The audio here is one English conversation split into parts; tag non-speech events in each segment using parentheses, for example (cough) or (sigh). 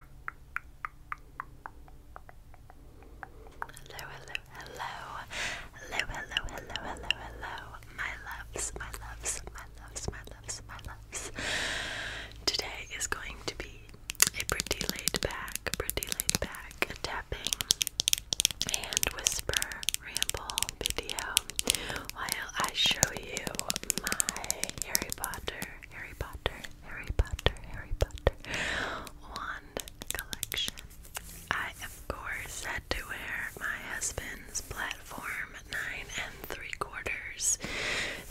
Hello, hello, hello, hello, hello, hello, hello, my loves, my loves, my loves, my loves, my loves. Today is going to be a pretty laid back, pretty laid back tapping and whisper ramble video while I show you my Harry Potter, Harry Potter, Harry Potter, Harry Potter wand collection. I, of course, had to wear my husband's platform nine and three quarters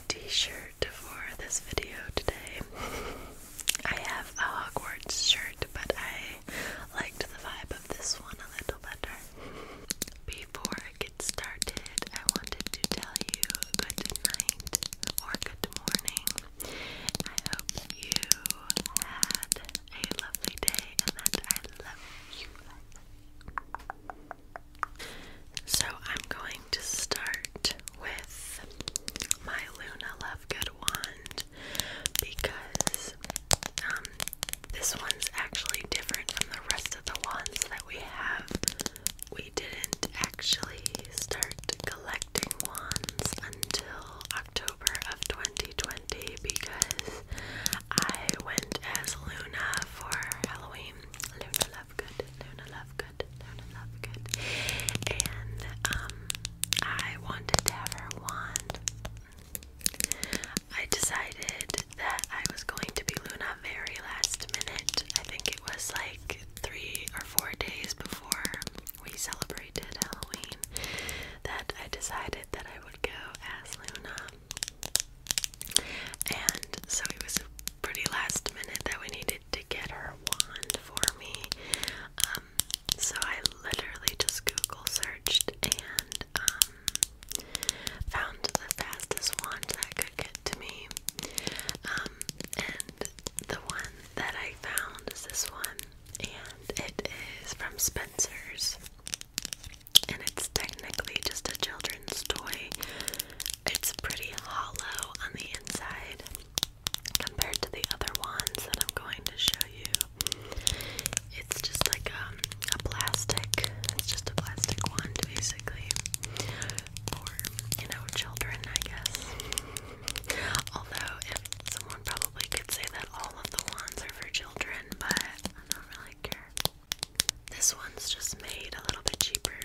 t-shirt for this video today. (laughs) I have a Hogwarts shirt, but I liked the vibe of this one a little better. Before I get started, I wanted to tell you good night or good morning. I hope you had a lovely day and I love you. So I'm going to start with my Luna Lovegood wand because um, this one's actually different from the rest of the wands that we have we didn't actually start collecting wands until October of 2020 because I went as Luna for Halloween. Luna Lovegood, Luna Lovegood, Luna Lovegood. And um I wanted to have her wand. I decided that I was going to be Luna very last minute. I think it was like three or four days before we celebrated Halloween that I decided that I would go as Luna. And so it was pretty last minute that we needed to get her wand for me. Um, so I literally just Google searched and um, found the fastest wand that I could get to me. Um, and the one that I found is this one, and it is from Spencer's. And it's technically just a children's toy. It's pretty hollow on the inside compared to the other ones that I'm going to show you. It's just like um, a plastic, it's just a plastic one basically for, you know, children, I guess. Although, if someone probably could say that all of the wands are for children, but I don't really care. This one's just made a little bit cheaper,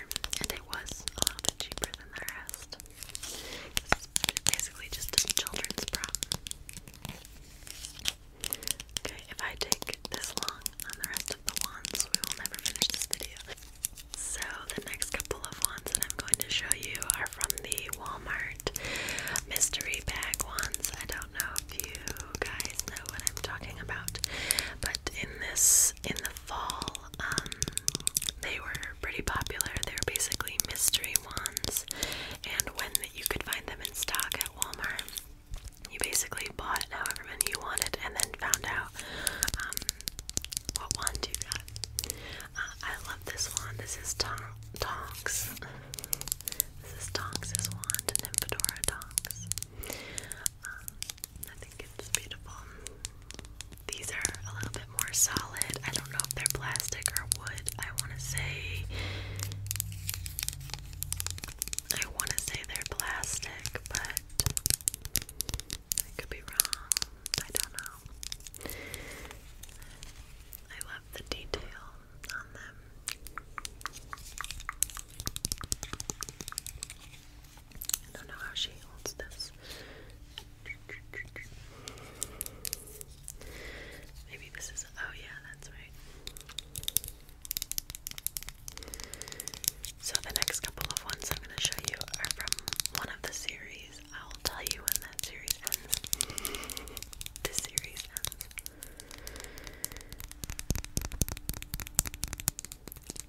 and it was a little bit cheaper than the rest. It's basically just a children's prop. Okay, if I take this long on the rest the wands. We will never finish this video. So the next couple of ones that I'm going to show you are from the Walmart mystery bag ones. I don't know if you guys know what I'm talking about, but in this, in the fall, um, they were pretty popular. They were basically mystery ones, and when you could find them in stock at Walmart, you basically bought however many you wanted, and then found out um, what wand do you got? Uh, I love this wand. This is Tonks. This is Tonks' wand, Nymphadora Tonks. Um, uh, I think it's beautiful. These are a little bit more solid. I don't know if they're plastic or wood. I want to say. I want to say they're plastic, but I could be wrong. I don't know. I love the detail on them. I don't know how she holds this. Maybe this is. Oh, yeah, that's right. So, the next couple of ones I'm going to show you are from one of the series. I'll tell you when that series ends. this series ends.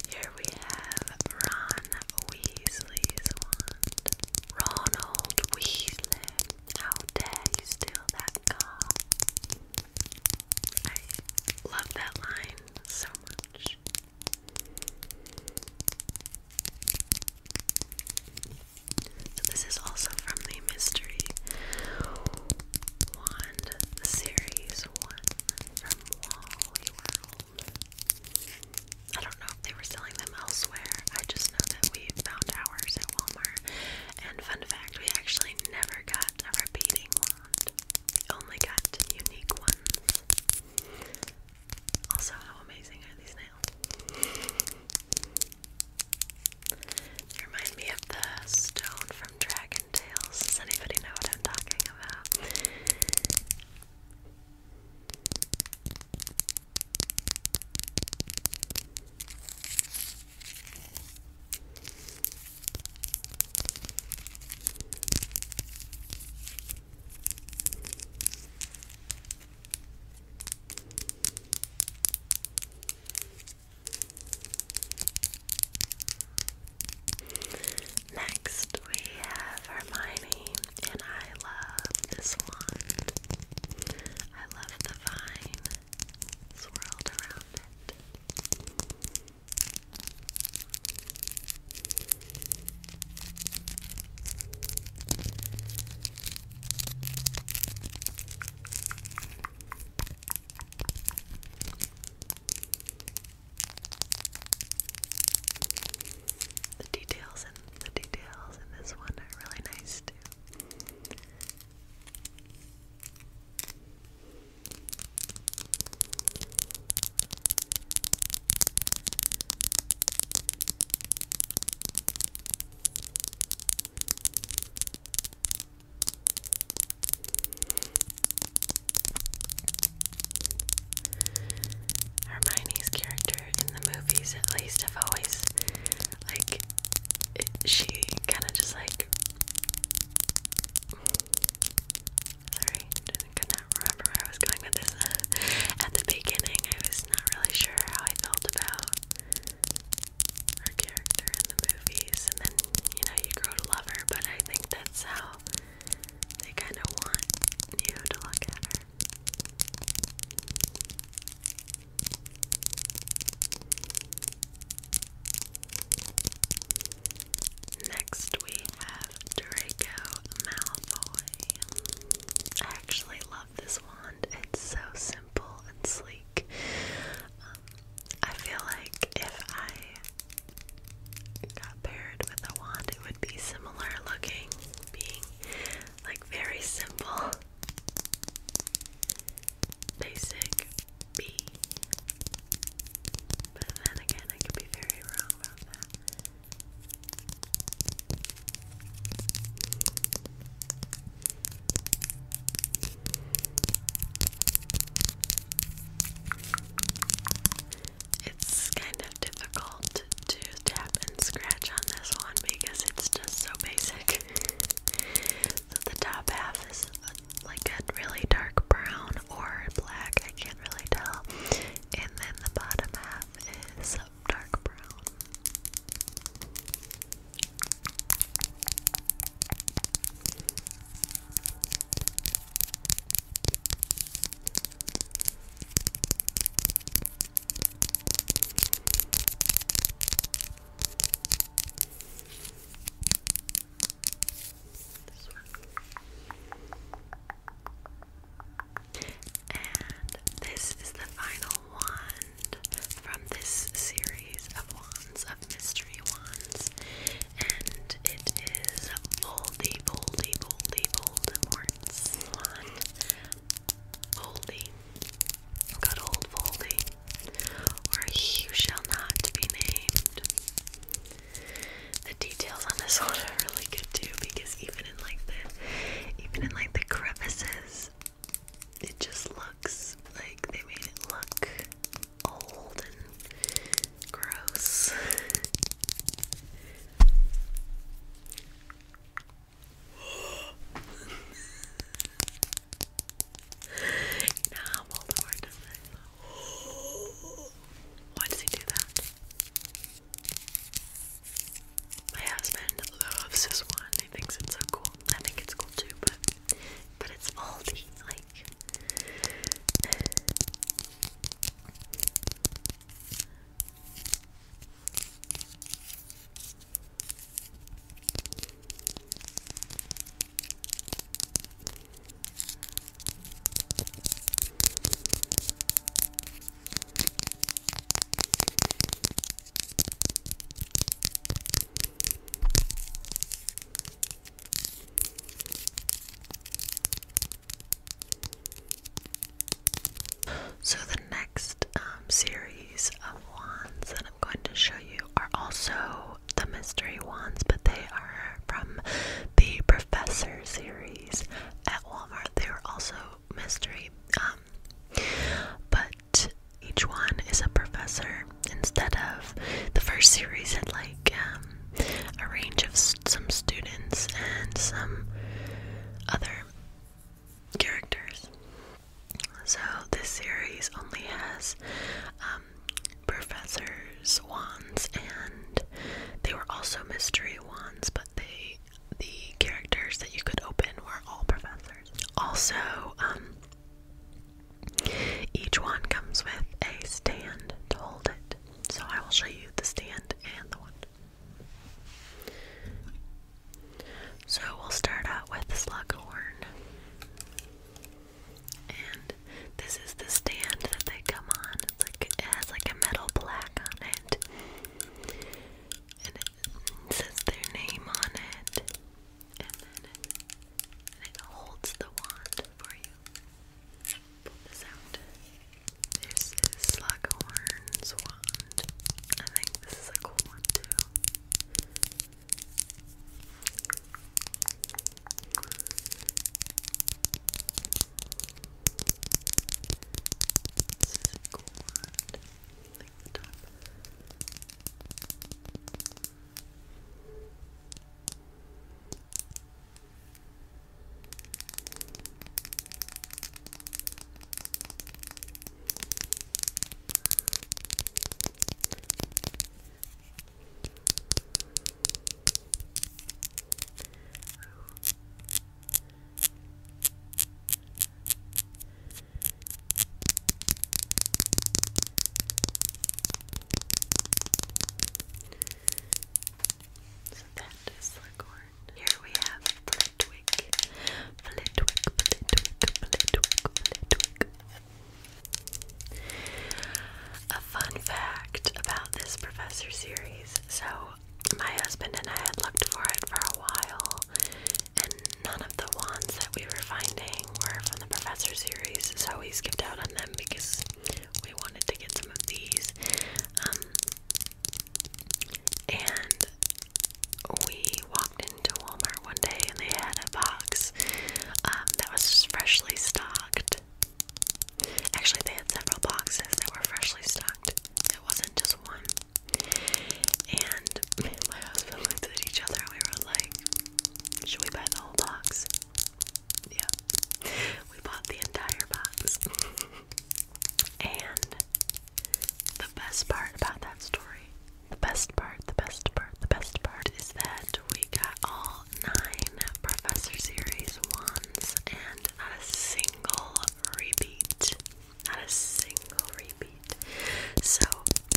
Here we have Ron Weasley's wand. Ronald Weasley. How dare you steal that I love that line so much this is also from the Mystery Wand series one from Wally I don't know if they were selling them elsewhere. I just know that we found ours at Walmart. And fun fact, we actually never got a repeating wand only oh got unique ones. Also, how amazing are these nails? remind me of the stone from Dragon Tales. Does anybody know what I'm talking about? Next, we have Hermione, and I love this wand. I love the vine swirled around it. The details and the details in this one are really nice too. Hermione's character in the movies, at least, I've always like it, she kind of just like Sorry, I could not remember where I was going with this. (laughs) At the beginning, I was not really sure how I felt about her character in the movies, and then you know you grow to love her. But I think that's how they kind of want you to look at her. Next, we have Draco Malfoy. I actually love this wand. It's so simple and sleek. Um, I feel like if I got paired with a wand, it would be similar looking, being like very simple. Basic B. But then again, I could be very wrong about that. It's kind of difficult to tap and scratch on this one because it's just so basic. (laughs) the top half is like a really dark brown or black, I can't really tell. And then the bottom half is dark brown. And this is the final wand from this series of wands, of mystery wands. And it is Boldy, Boldy, Boldy, Voldemort's wand. Boldy. Good old Voldy. Or you shall not be named. The details on this one are really good too because even in like the even in like the crevices it just looks like they made it look old and gross. you know how Voldemort does why does he do that? My husband loves this one. He thinks it's so cool. I think it's cool too, but but it's faulty. Like so, the next um, series of wands that I'm going to show you are also the mystery wands, but they are from the Professor series at Walmart. They are also mystery, um, but each one is a professor instead of the first series had like um, a range of some students and some other characters. So this series only has um, professors' wands, and they were also mystery wands, but they the characters that you could open were all professors. Also, um, each one comes with a stand to hold it. So I will show you the stand and the wand. So we'll start out with Slughorn. And this is the stand that they come on. like it has like a metal plaque on it. And it says their name on it. And then it, holds the wand for you. Pull this is Slughorn's wand. I think this is a cool one too. This is gold, like the top. So that is Leghorn. Here we have Flitwick. Flitwick, Flitwick, Flitwick, Flitwick. A fun fact about this professor series so, my husband and I had looked for it for a while, and none of the ones that we were finding were from the professor series, so we skipped out on them because we wanted to get some of these. Um, and we walked into Walmart one day and they had a box um, that was freshly stocked Actually, they had several boxes that were freshly stocked. It wasn't just one. And me (laughs) looked at each other we were like, should we buy the whole box? Yeah. We bought the entire box. (laughs) and the best part about that story, the best part, the best part, the best part is that we got all nine Professor Series ones, and not a single repeat. Not a single repeat. So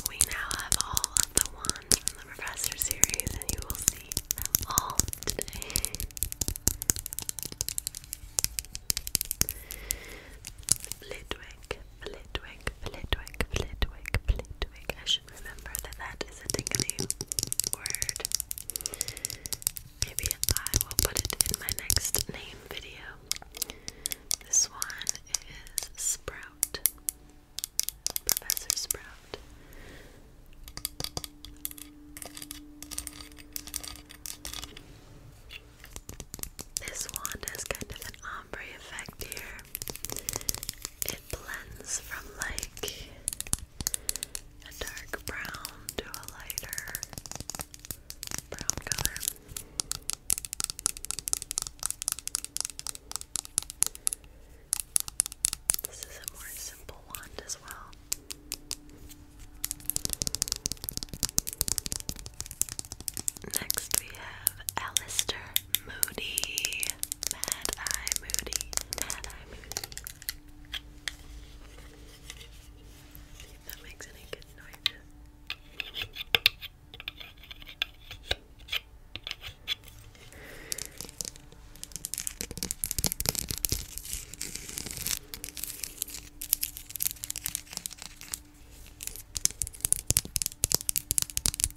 we now have all of the ones from the Professor Series, and you will see them all today. Flitwick, Flitwick, Flitwick, Flitwick, Flitwick remember that that is a tingly word. Maybe I will put it in my next name video. This one is Sprout. Professor Sprout. This one has kind of an ombre effect here. It blends from like a dark brown to a lighter brown color. This is a more simple wand as well. Next we have Alistair. Moody. Mad Eye Moody. Mad Eye Moody. that makes any good noises.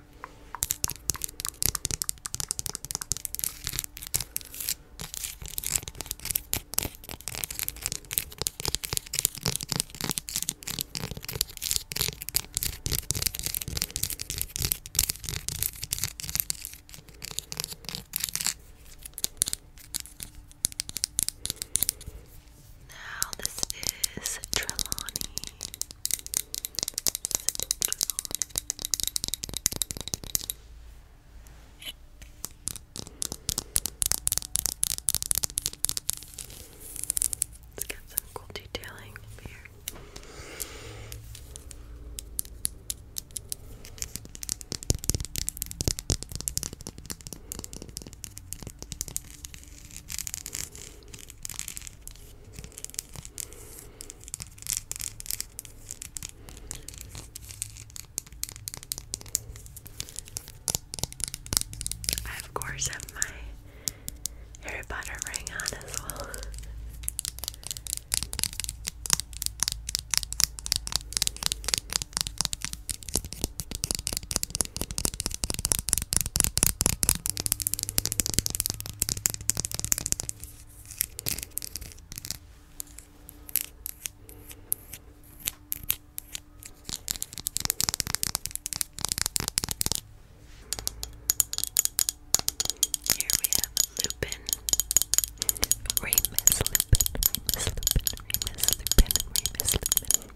Now, this is Trelawney. Let's get some cool detailing over here. Let's I, of course, have my Harry Potter ring on as well. Here we have Lupin, Remus Lupin, Remus Lupin, Remus Lupin, Remus Lupin.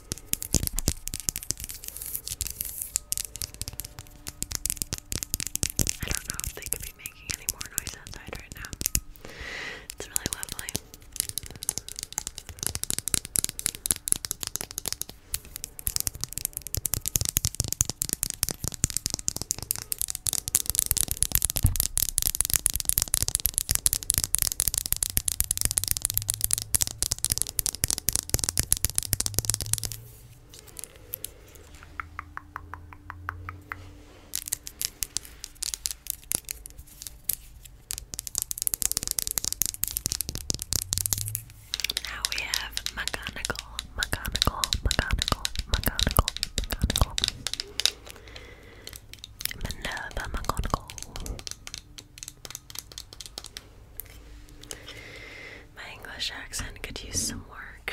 I don't know if they could be making any more noise outside right now. It's really lovely. Now we have mechanical, mechanical, mechanical, mechanical, mechanical. Minerva McGonagall. My English accent could use some work.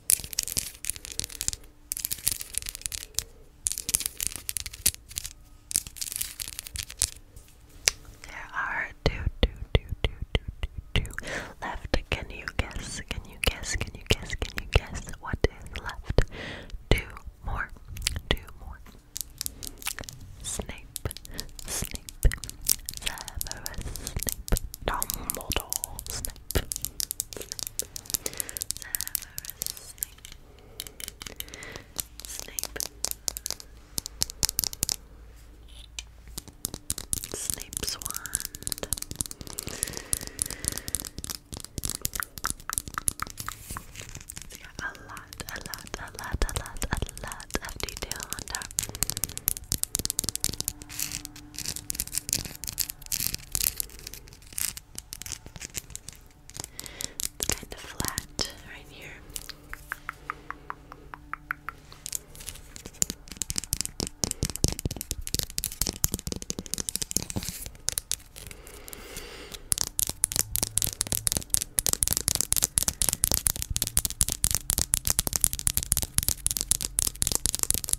There are two, two, two, two, two, two, two left. Can you guess? Can you guess? Can you guess? Can you guess what is left? Two more. Two more. Snape, Snape, Severus Snape, Dumbledore, Snape. Snap. Severus Snape. Snape. Snape's wand. So yeah, a lot, a lot, a lot, a lot, a lot of detail on top. It's kind of flat right here.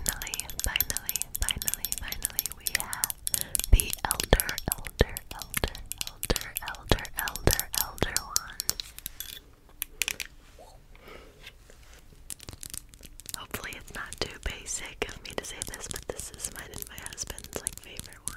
And finally, finally, finally, finally, we have the elder, elder, elder, elder, elder, elder, elder one. Hopefully it's not too basic of me to say this, but this is mine and my husband's like favorite one.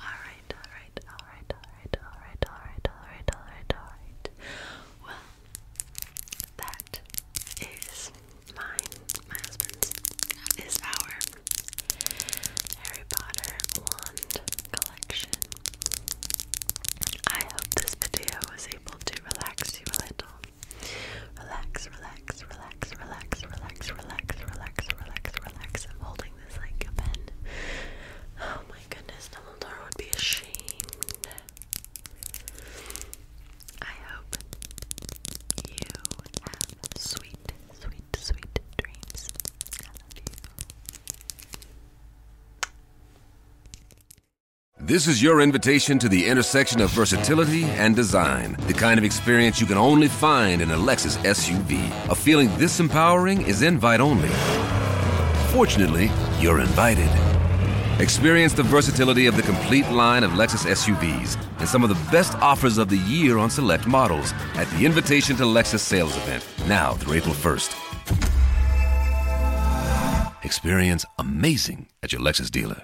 Alright, alright, alright, alright, alright, alright, alright, alright, alright. Well, that is mine, my husband's, is our Harry Potter wand collection. I hope this video was able to relax you a little. Relax, relax, relax relax, relax, relax, relax, relax, relax, relax. I'm holding this like a pen. Oh my goodness, Dumbledore would be ashamed. I hope you have sweet, sweet, sweet dreams. I love you. This is your invitation to the intersection of versatility and design. The kind of experience you can only find in a Lexus SUV. A feeling this empowering is invite only. Fortunately, you're invited. Experience the versatility of the complete line of Lexus SUVs and some of the best offers of the year on select models at the Invitation to Lexus sales event, now through April 1st. Experience amazing at your Lexus dealer.